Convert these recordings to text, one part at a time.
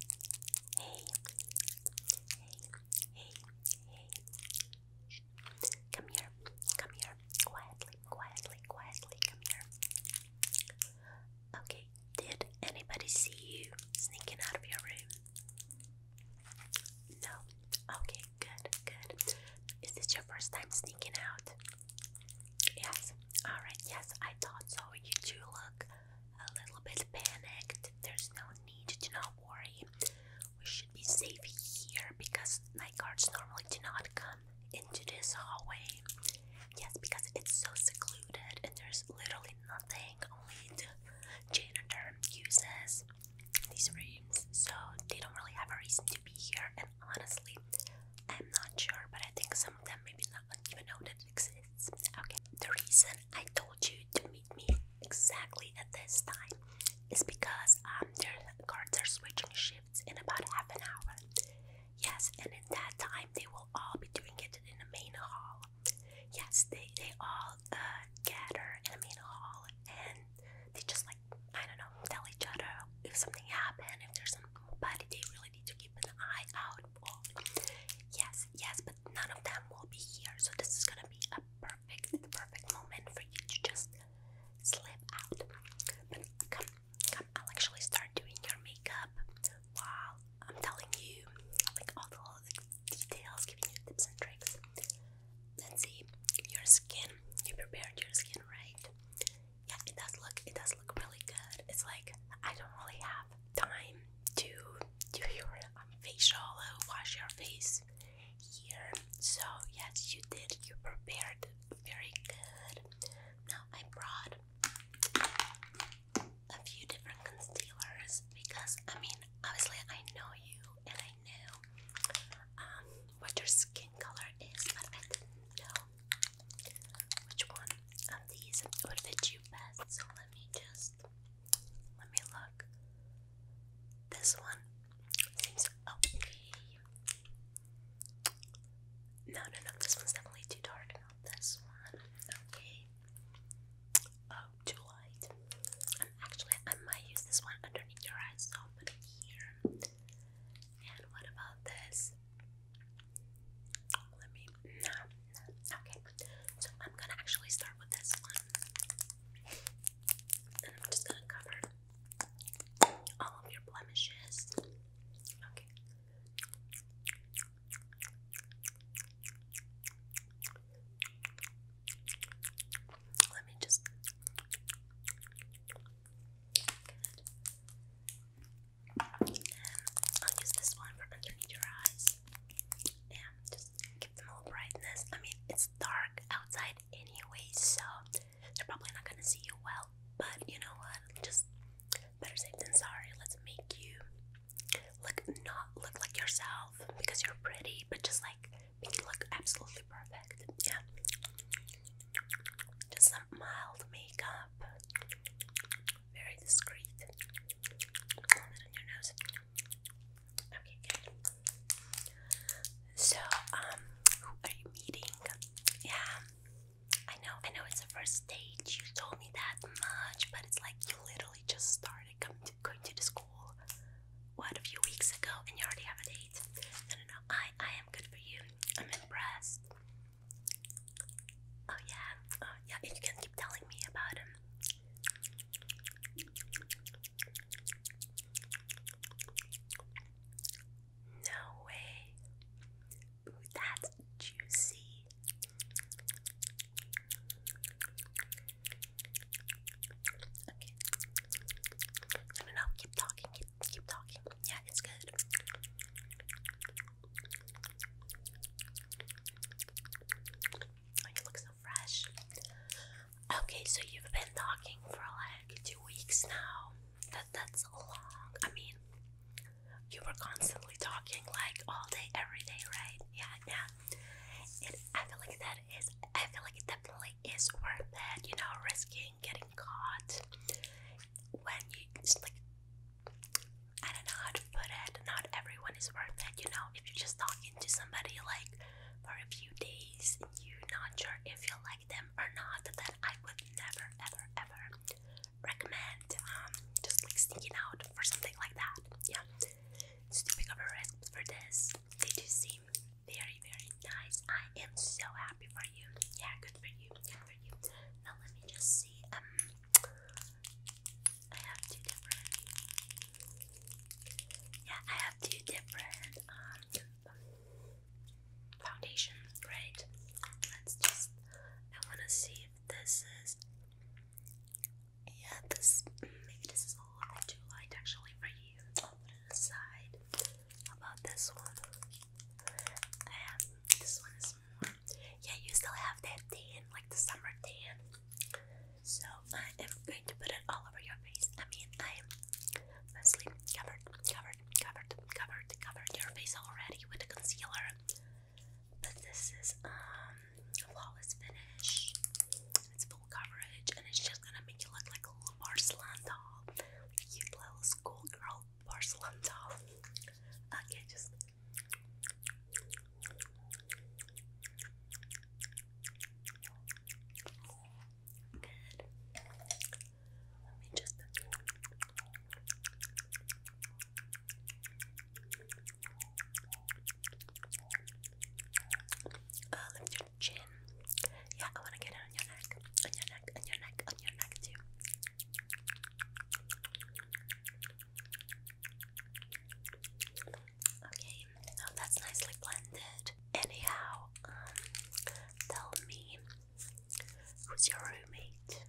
Hey, hey, hey, hey. Come here, come here. Quietly, quietly, quietly. Come here. Okay, did anybody see you sneaking out of your room? No. Okay, good, good. Is this your first time sneaking out? Yes. Alright, yes, I thought so. You do look a little bit panicked. There's no need to not worry. We should be safe here because night guards normally do not come into this hallway. Yes, because it's so secluded and there's literally nothing. Only janitor uses these rooms, so they don't really have a reason to be here. And honestly, I'm not sure, but I think some of them maybe not even know that exists. Okay, the reason I told you to meet me exactly at this time is because um, their guards are switching shifts in about half an hour. Yes, and in that time they will all be doing it in the main hall. Yes, they they all uh, gather in the main hall and they just like I don't know tell each other if something happened if there's somebody they really need to keep an eye out for. Yes, yes, but none of them will be here. So this is gonna be a perfect, perfect moment for you to just slip out. But come, come, I'll actually start doing your makeup while I'm telling you like all the like, details, giving you tips and tricks. Let's see your skin. You prepared your skin, right? Yeah, it does look it does look really good. It's like I don't really have time to do your um, facial, uh, wash your face here. So, yes, you did, you prepared very good. Now, I brought a few different concealers because I mean, obviously, I know you and I know um, what your skin color is, but I didn't know which one of these would fit you best. So, let me just. Let me look. This one seems okay. No, no, no. This one's definitely too dark. this one. Okay. Oh, too light. actually, I might use this one underneath your eyes. So i it here. And what about this? Let me. no. Okay. So I'm gonna actually start with this one. And I'm just gonna cover all of your blemishes. Okay. Let me just. I'll use this one for underneath your eyes and just give them a little brightness. I mean, it's dark outside anyway, so they're probably not gonna see you well. But you know what? Just better safe than sorry. Let's make you look not look like yourself because you're pretty, but just like make you look absolutely perfect. Yeah. Just some mild makeup. Very discreet. Okay, So, um, who are you meeting? Yeah, I know, I know it's the first stage. You told me that much, but it's like you literally just started coming going to the school. What a few weeks ago, and you already have a date. No, no, no. I, I am good for you. I'm impressed. Oh yeah, oh yeah. And you can keep telling me about no way. that's juicy. Okay. No, no, no. Keep talking. keep talking. Yeah, it's good you look so fresh. Okay, so you've been talking for like two weeks now. That that's long. I mean, you were constantly talking like all day, every day, right? Yeah, yeah. And I feel like that is. I feel like it definitely is worth it. You know, risking getting caught when you just like I don't know how to put it. Not everyone is worth it, you know. If you're just talking to somebody like for a few days and you're not sure if you like them or not, then I would never, ever, ever recommend um, just like sneaking out for something like that. Yeah, it's too big of a risk for this. They do seem very, very nice. I am so happy for you. Yeah, good for you. Good for you. Now let me just see. Um, I have two different. Yeah, I have two different um foundations, right? Let's just. I want to see if this is. Yeah, this maybe this is a little too light actually for you. put it aside. about this one? I have this one is yeah, you still have that tan, like the summer tan. So I am going to put it all over your face. I mean, I am mostly covered, covered, covered, covered, covered your face already with the concealer. But this is um flawless finish. It's full coverage, and it's just gonna make you look like a little porcelain doll, cute little schoolgirl porcelain doll. Okay, just Good. Let me just uh, oh, lift your chin. Yeah, I want to get it on your neck, on your neck, on your neck, on your neck too. Okay, now that's nicely blended. Anyhow, um, tell me, who's your roommate?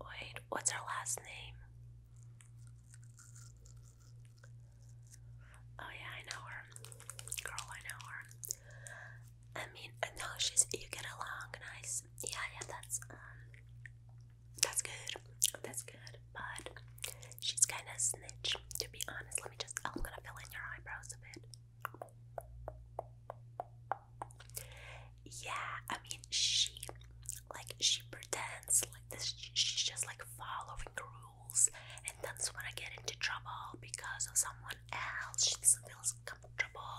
Wait, what's her last name? Oh yeah, I know her. Girl, I know her. I mean, uh, no, she's you get along nice yeah, yeah, that's um, that's good, that's good. But she's kind of snitch, to be honest. Let me just, I'm gonna fill in your eyebrows a bit. Yeah, I mean, she, like, she pretends like this. she's just like following the rules, and that's when I get into trouble because of someone else. She just feels comfortable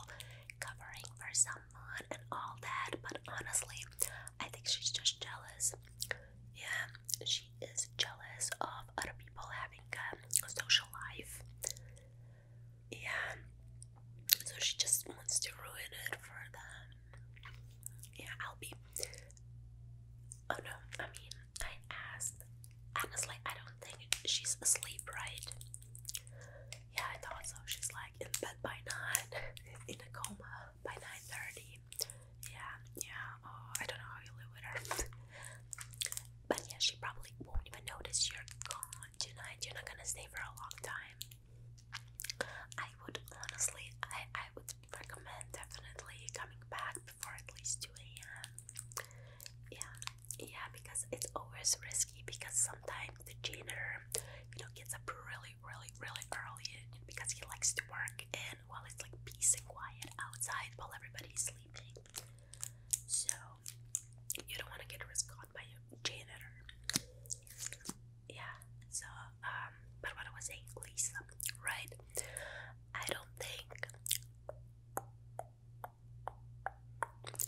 covering for someone and all that, but honestly, I think she's just jealous. Yeah, she is jealous of other people having a social life. Yeah, so she just wants to ruin it for them. Yeah, I'll be. Oh no, I mean, I asked. Honestly, I don't think she's asleep, right? Yeah, I thought so. She's like in bed by nine, in a coma by nine thirty. Yeah, yeah. Oh, I don't know how you live with her. But yeah, she probably won't even notice you're gone tonight. You're not gonna stay for a long time. I would honestly, I I would recommend definitely coming back before at least two a.m. Yeah, yeah, because it's always risky because sometimes the janitor, you know, gets up really, really, really early because he likes to work and while it's like peace and quiet outside while everybody's sleeping. So you don't want to get caught by a janitor. Yeah. So um, but what I was saying, Lisa, right? I don't think.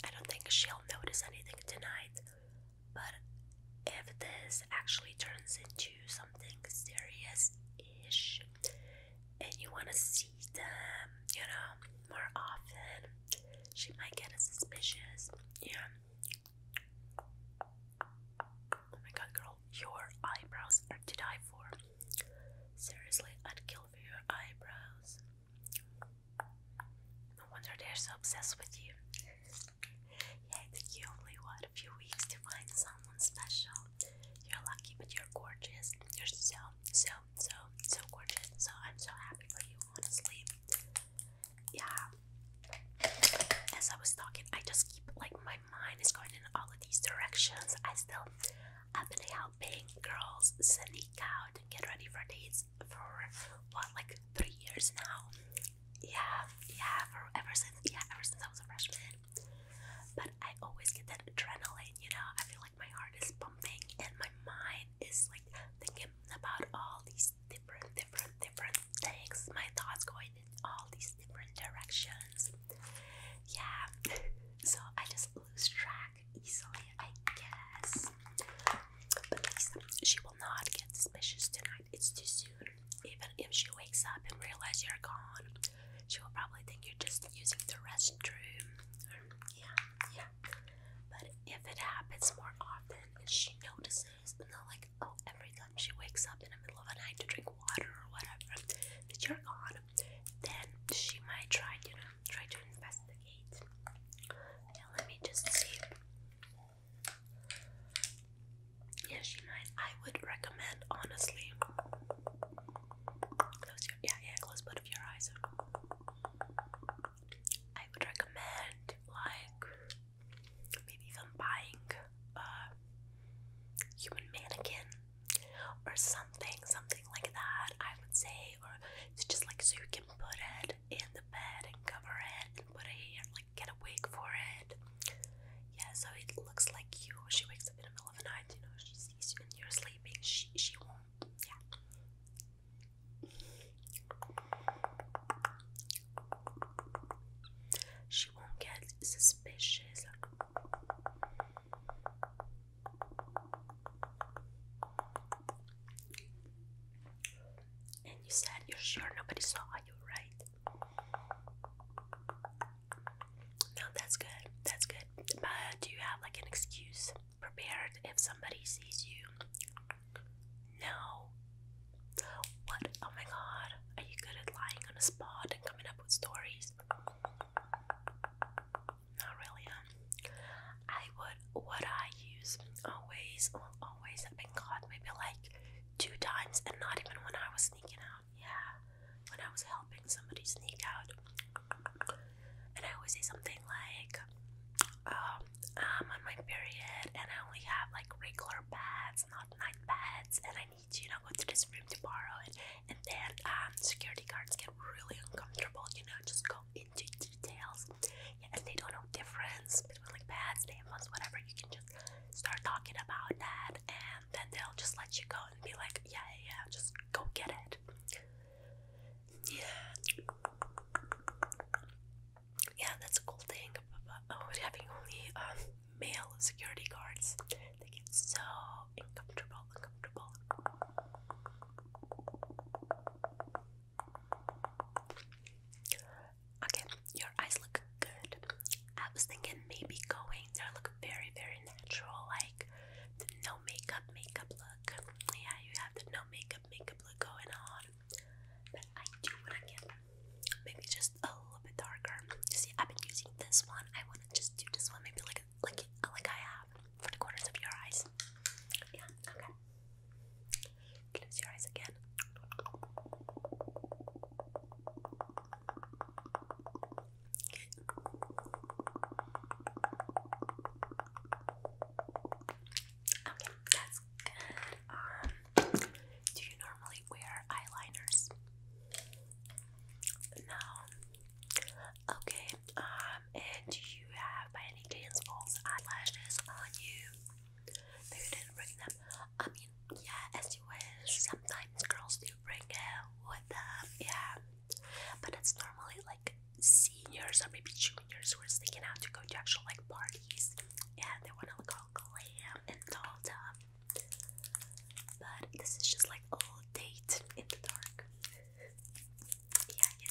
I don't think she'll notice anything tonight. But if this actually turns into something serious ish and you want to see them, you know, more often, she might get suspicious. Yeah. Oh my god, girl, your eyebrows are to die for. Seriously, I'd kill for your eyebrows. No wonder they're so obsessed with you. yeah, you only, what, a few weeks to find someone special. You're lucky, but you're gorgeous. You're so, so, so, so gorgeous. So I'm so happy for you, honestly. Yeah. As I was talking, I just keep, like, my mind is going in all of these directions. I still, I've been helping girls sneak out and get ready for dates for what like three years now. Yeah, yeah, for ever since yeah, ever since I was a freshman. But I always get that adrenaline, you know. I feel like my heart is pumping and my mind is like thinking about all these different, different, different things. My thoughts going in all these different directions. Yeah. So I just lose track easily, I guess. But Lisa, she not get suspicious tonight. It's too soon. Even if she wakes up and realizes you're gone, she will probably think you're just using the restroom. Yeah, yeah. But if it happens more often and she notices, and they're like, oh, every time she wakes up in the middle of the night to drink water or whatever, that you're gone, then she might try to, you know, try to investigate. let me just see. Yeah, she might. I would recommend, honestly. yeah, yeah, close both of your eyes. I would recommend like maybe even buying a human mannequin or something, something like that. I would say it's just like so you can put it in the bed and cover it and put it here, like get a for it. Yeah, so it looks like you. She wakes up in the middle of the night, you know, she sees you and you're sleeping. She she won't. Yeah. She won't get suspicious. And you said you're sure nobody saw you, right? No, that's good. That's good. But do you have like an excuse prepared if somebody sees you? No. What? Oh my god. Are you good at lying on a spot and coming up with stories? Not really, huh? I what I use always, um, always have been caught maybe like two times, and not even when I was sneaking out. Yeah, when I was helping somebody sneak out, and I always say something like, um, "I'm on my period, and I only have like regular pads, not night pads, and I need to, you know, go to this room to borrow it." And then um, security guards get really uncomfortable, you know, just go in details. Yeah, and they don't know difference like pads, tampons, whatever. You can just start talking about that, and then they'll just let you go and be like, yeah, yeah, just go get it. Yeah. Yeah, that's a cool thing about oh, having only um, male security guards. They get so uncomfortable, uncomfortable. Okay, your eyes look good. I was thinking maybe going there look very, very natural, like the no makeup makeup look. Yeah, you have the no makeup makeup look going on. But I do wanna get maybe just a little bit darker. You see, I've been using this one. I wanna just do this one, maybe like like like I have for the corners of your eyes. Yeah, okay. Close your eyes again. Okay, that's good. Um, do you normally wear eyeliners? No. Okay. Um, and do you have any chance false eyelashes on you? Maybe you bring them. I mean, yeah, as you wish. Sometimes girls do bring it with them, yeah. But it's normally like seniors or maybe juniors who are sneaking out to go to actual like parties. Yeah, they want to look all glam and dolled up. But this is just like old date in the dark. Yeah, you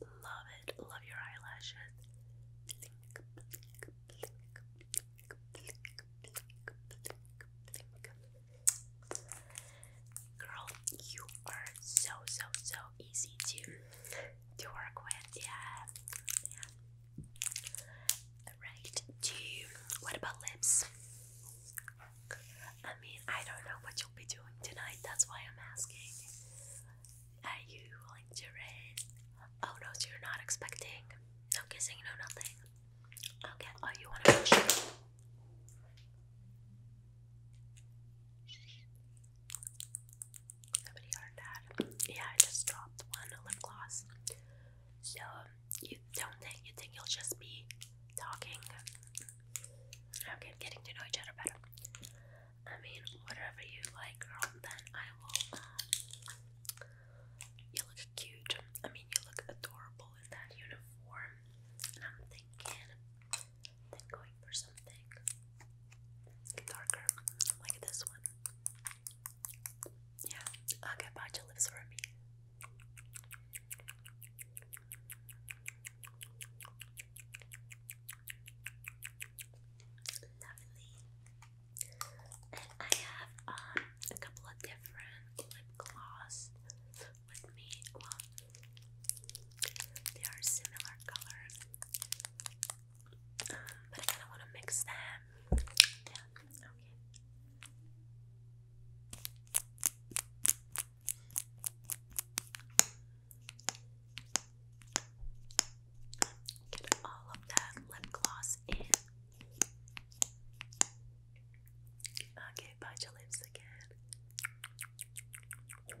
Love it. Love your eyelashes. Girl, you are so, so, so easy to to work with. Yeah. yeah. Right. Do what about lips? I mean, I don't know what you'll be doing tonight, that's why I'm asking. Are you willing to rain? Oh no, so you're not expecting. No kissing, no nothing. Okay, all oh, you want to push Somebody heard that. Yeah, I just dropped one lip gloss. So, you don't think, you think you'll just be talking Okay, getting to know each other better. I mean, whatever you like, girl, then I will, uh, you look cute. I mean, you look adorable in that uniform. And I'm thinking, going for something darker, like this one. Yeah, okay, but your lips for me. Lovely. And I have um, a couple of different lip gloss with me. they are similar color, um, but I kind of want to mix them. Yeah. Okay. Get all of that lip gloss in. Okay, bite your lips again. That's good. And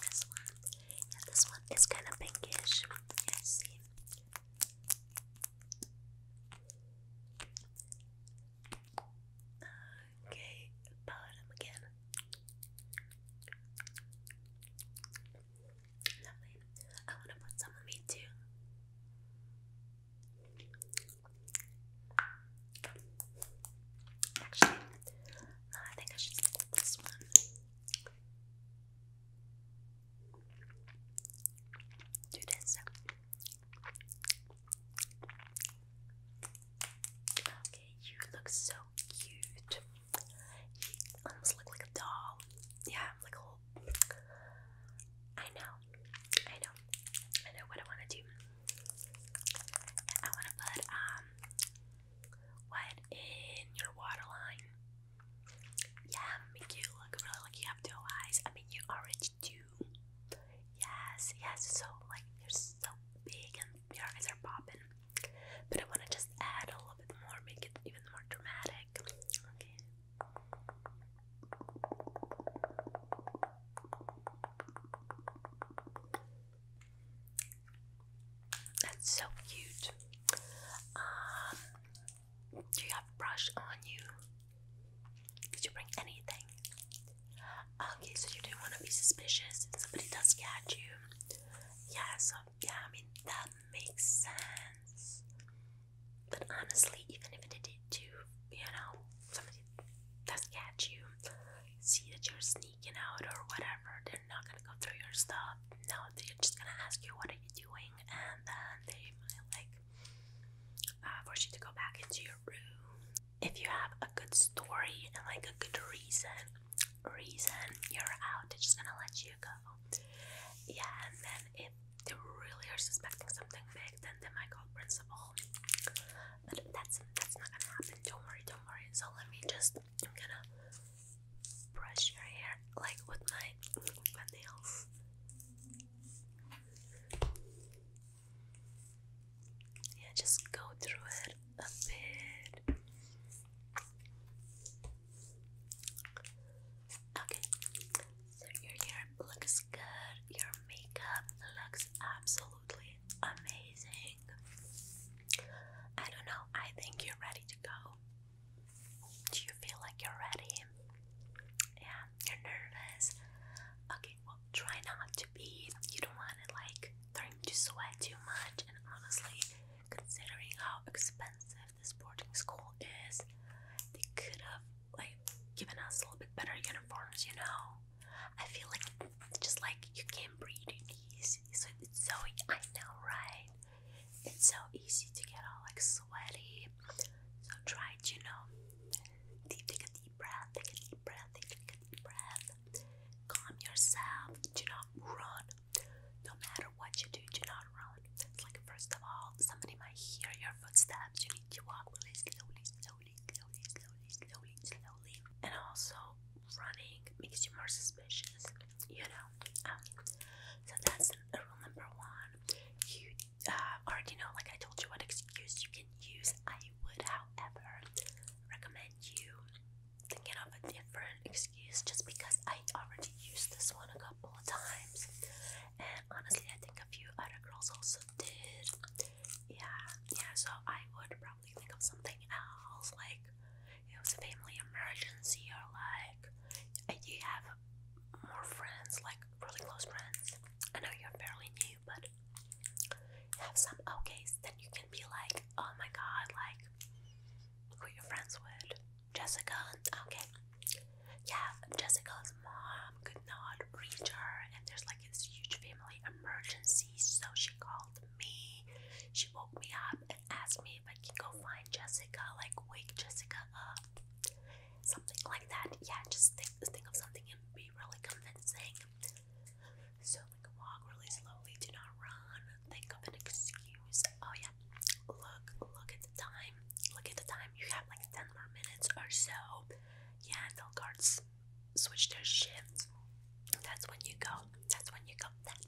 this one this one is kind of pinkish. Yeah, see. Okay, bottom again. I want to put some on me too. Actually, I think I should stick with this one. Do this. Okay, you look so cute. You almost look like a doll. Yeah, like a know, I know, I know what I want to do. I want to put um what in your waterline? Yeah, make you look really like you have two eyes. I mean, you already do. Yes, yes. So like you're so big and your eyes are popping. But I want to just add a little bit more, make it even more dramatic. Okay. That's so cute. Um, do you have brush on you? Did you bring anything? Okay, so you didn't want to be suspicious if somebody does catch you. Yeah, so yeah, I mean that makes sense. But honestly, even if it did too, you know, somebody does catch you, see that you're sneaking out or whatever. They're not gonna go through your stuff. No, they're just gonna ask you what are you doing, and then they might like uh, force you to go back into your room. If you have a good story and like a good reason, reason you're out, they're just gonna let you go. Yeah, and then if they really are suspecting something big, then they might call principal. But that's that's not gonna happen. Don't worry, don't worry. So let me just I'm gonna brush your hair like with my, my nails. Yeah, just go through it a bit. Okay, so your hair looks good, your makeup looks absolutely amazing. I don't know, I think you're ready to go. Do you feel like you're ready? Yeah, you're nervous. Okay, well, try not to be. You don't want to like turn to sweat too much. And honestly, considering how expensive this boarding school is, they could have like given us a little bit better uniforms, you know. I feel like just like you can breathe in easy. So it's so I know, right? It's so easy to get all like sweaty. So try it, you know. Deep, take a deep breath. Take a deep breath. Take a deep breath. Calm yourself. Do not run. No matter what you do, do not run. It's like first of all, somebody might hear your footsteps. You need to walk really slowly, slowly, slowly, slowly, slowly, slowly, and also running makes you more suspicious, you know. Um, so that's rule number one. You uh, already know, like I told you, what excuse you can use. I would, however, recommend you thinking of a different excuse just because I already used this one a couple of times. And honestly, I think a few other girls also did. Yeah, yeah, so I would probably randomly think of something else, like it was a family emergency, or like you have more friends, like really close friends. I know you're fairly new, but have some outcases that you can be like, oh my god, like who your friends with. Jessica, okay. Yeah, Jessica's mom could not reach her, and there's like this huge family emergency, so she called me. She woke me up, asked me if I can go find Jessica, like wake Jessica up, something like that. Yeah, just think, think of something and be really convincing. So like walk really slowly, do not run. Think of an excuse. Oh yeah, look, look at the time. Look at the time. You have like ten more minutes or so. Yeah, until guards switch their shifts. That's when you go. That's when you go. That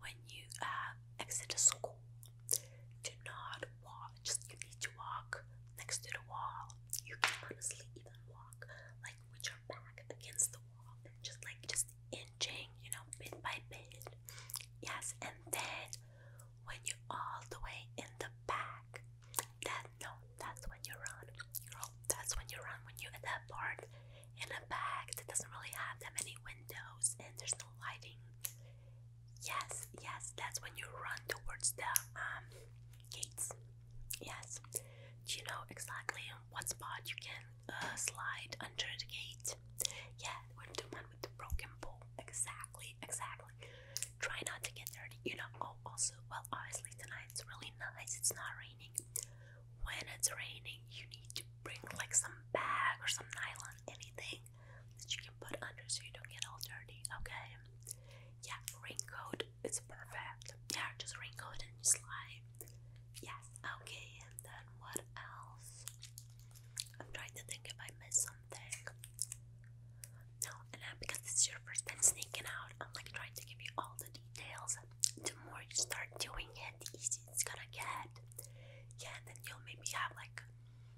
when you uh, exit the school. Do not walk, just you need to walk next to the wall. You can honestly even walk like with your back against the wall just like just inching, you know, bit by bit. Yes, and then when you all the way in the back, that no, that's when you run. Girl, that's when you run when you at that part in a bag that doesn't really have that many windows and there's no lighting. Yes, yes, that's when you run towards the um, Yes. you know exactly what spot you can uh, slide under the gate? Yeah, we're the one with the broken pole. Exactly, exactly. Try not to get dirty, you know. Oh, also, well, obviously, tonight's really nice. It's not raining when it's raining, you need to bring like some bag or some nylon, anything that you can put under so you don't get all dirty, okay? Yeah, raincoat, it's perfect. Yeah, just raincoat and slide. Yes, okay, and then what else? I'm trying to think if I missed something. No, and because this is your first time sneaking out, I'm like trying to give you all the details the more you start doing it, the easier it's gonna get. Yeah, and then you'll maybe have like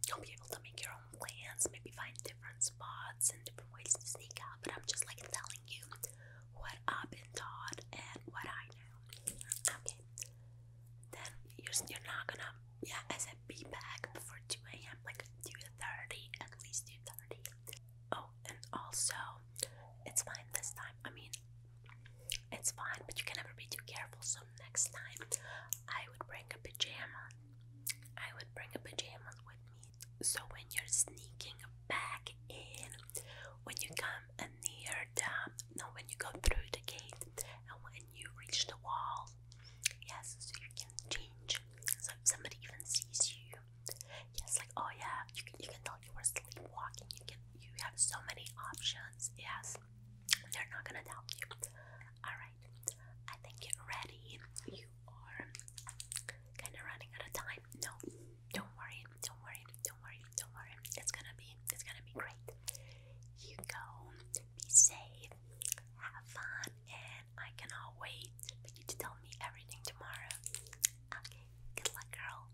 you'll be able to make your own plans, maybe find different spots and different ways to sneak out. But I'm just like telling you what I've been taught and what I know. Okay. Then you're you're not gonna yeah, I said be back before two AM, like two thirty, at least two thirty. Oh, and also it's fine this time. I mean it's fine, but you can never be too careful. So next time, I would bring a pajama. I would bring a pajama with me. So when you're sneaking back in, when you come near the, no, when you go through the gate, and when you reach the wall, yes, so you can change. So if somebody even sees you, yes, like oh yeah, you can, you can you are sleepwalking. You can you have so many options. Yes. They're not gonna doubt you. Alright. I think you're ready. You are kinda running out of time. No, don't worry, don't worry, don't worry, don't worry. It's gonna be it's gonna be great. You go, be safe, have fun, and I cannot wait for you to tell me everything tomorrow. Okay, good luck girl.